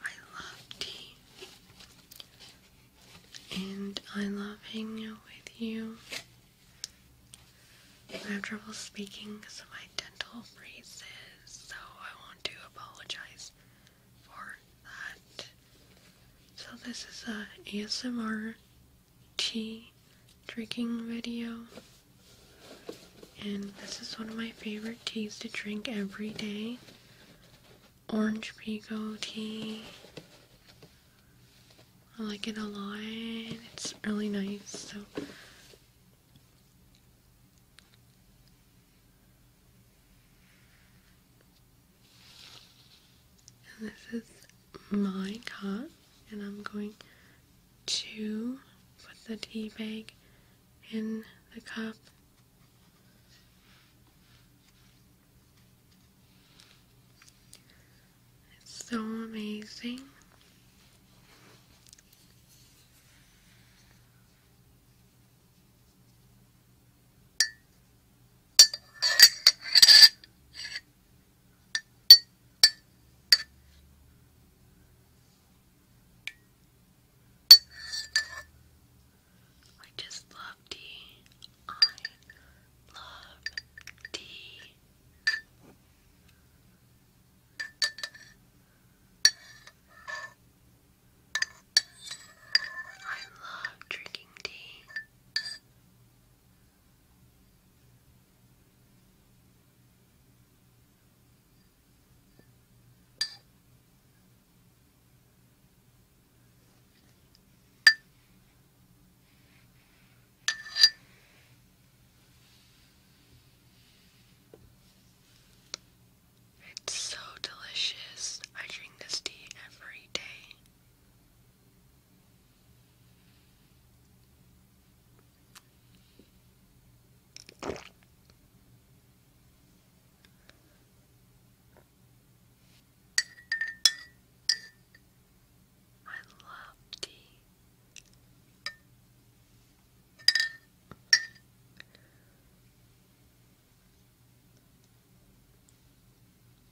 I love tea. And I love hanging out with you. I have trouble speaking because of my dental braces, so I want to apologize for that. So this is a ASMR tea drinking video. And this is one of my favorite teas to drink every day. Orange Pico tea. I like it a lot. It's really nice. So and this is my cup, and I'm going to put the tea bag in the cup. It's so amazing. I just love tea. I love tea. I love drinking tea. It's so delicious. I drink this tea every day. I love tea.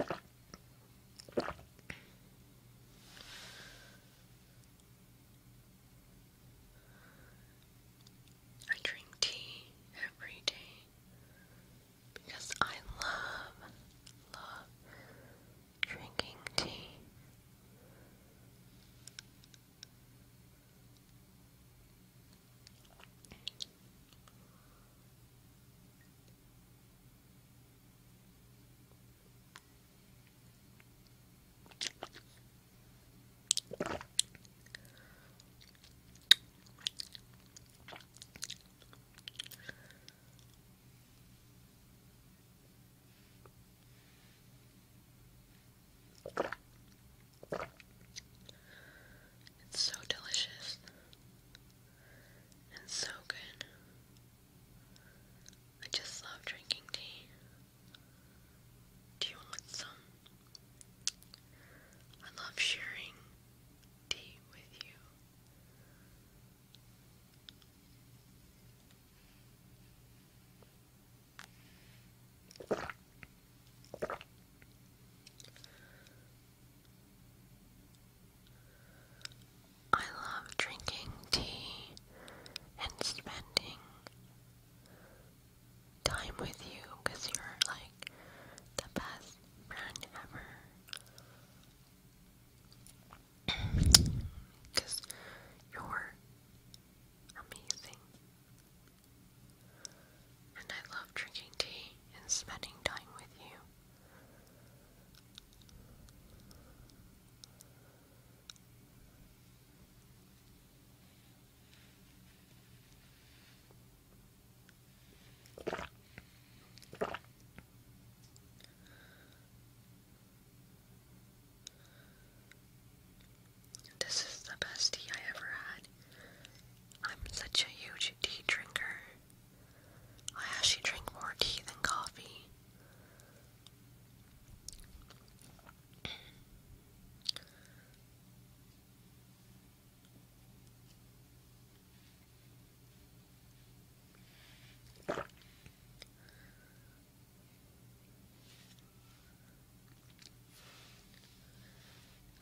I drink tea every day because I love, love, drinking tea. It's so delicious and so good. I just love drinking tea. Do you want some? I love sharing tea with you. I love drinking tea and spending time with you because you're like the best friend ever. Because you're amazing. And I love drinking tea and spending time with you. This is the best tea I ever had. I'm such a huge tea drinker. I actually drink more tea than coffee.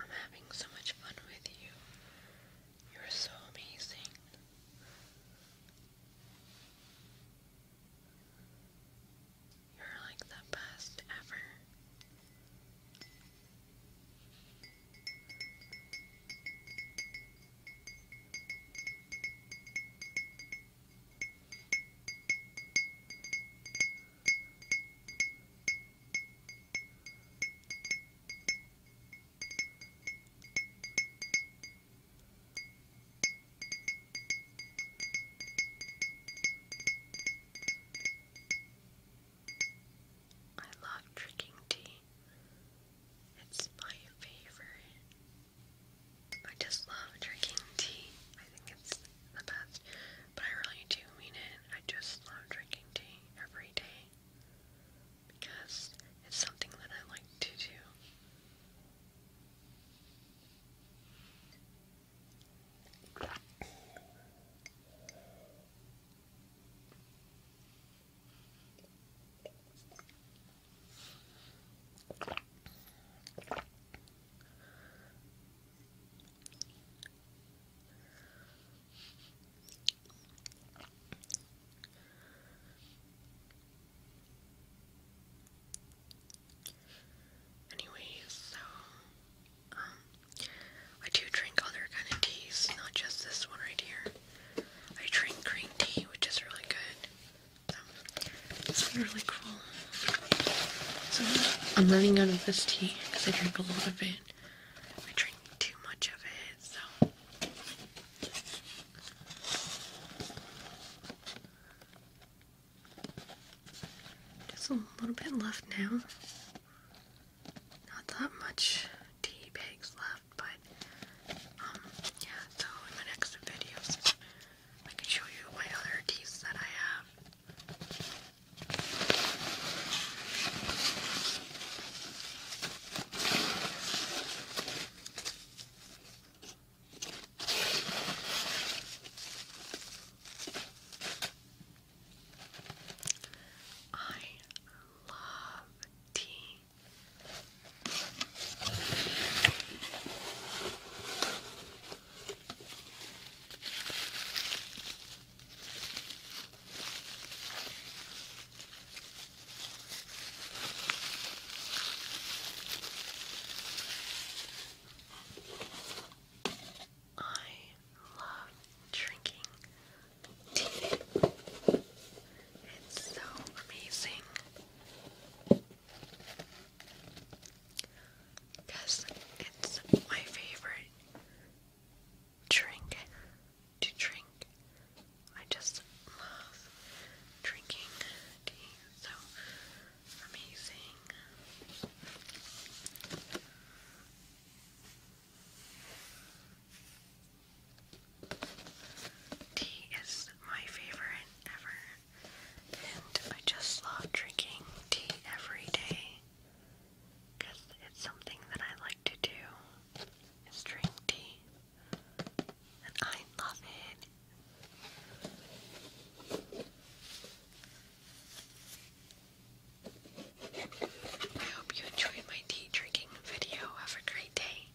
I'm having so much fun with you. You're so amazing. You're like the best ever. I love drinking tea. It's my favorite. I just love drinking tea. I think it's the best. But I really do mean it. I just love drinking tea every day because it's something that I like to do. Anyways, so um, I do drink other kind of teas, not just this one right here. I drink green tea, which is really good it really cool. I'm running out of this tea because I drink a lot of it. I drink too much of it, so. Just a little bit left now. Not that much tea bags left, but um, yeah, so in my next videos, I can show you my other teeth that I have. I love tea. I love drinking tea. It's so amazing. Because it's my favorite drink to drink. I just love drinking So amazing. Tea is my favorite ever, and I just love drinking tea every day because it's something that I like to do is drink tea, and I love it. I hope you enjoyed my tea drinking video. Have a great day.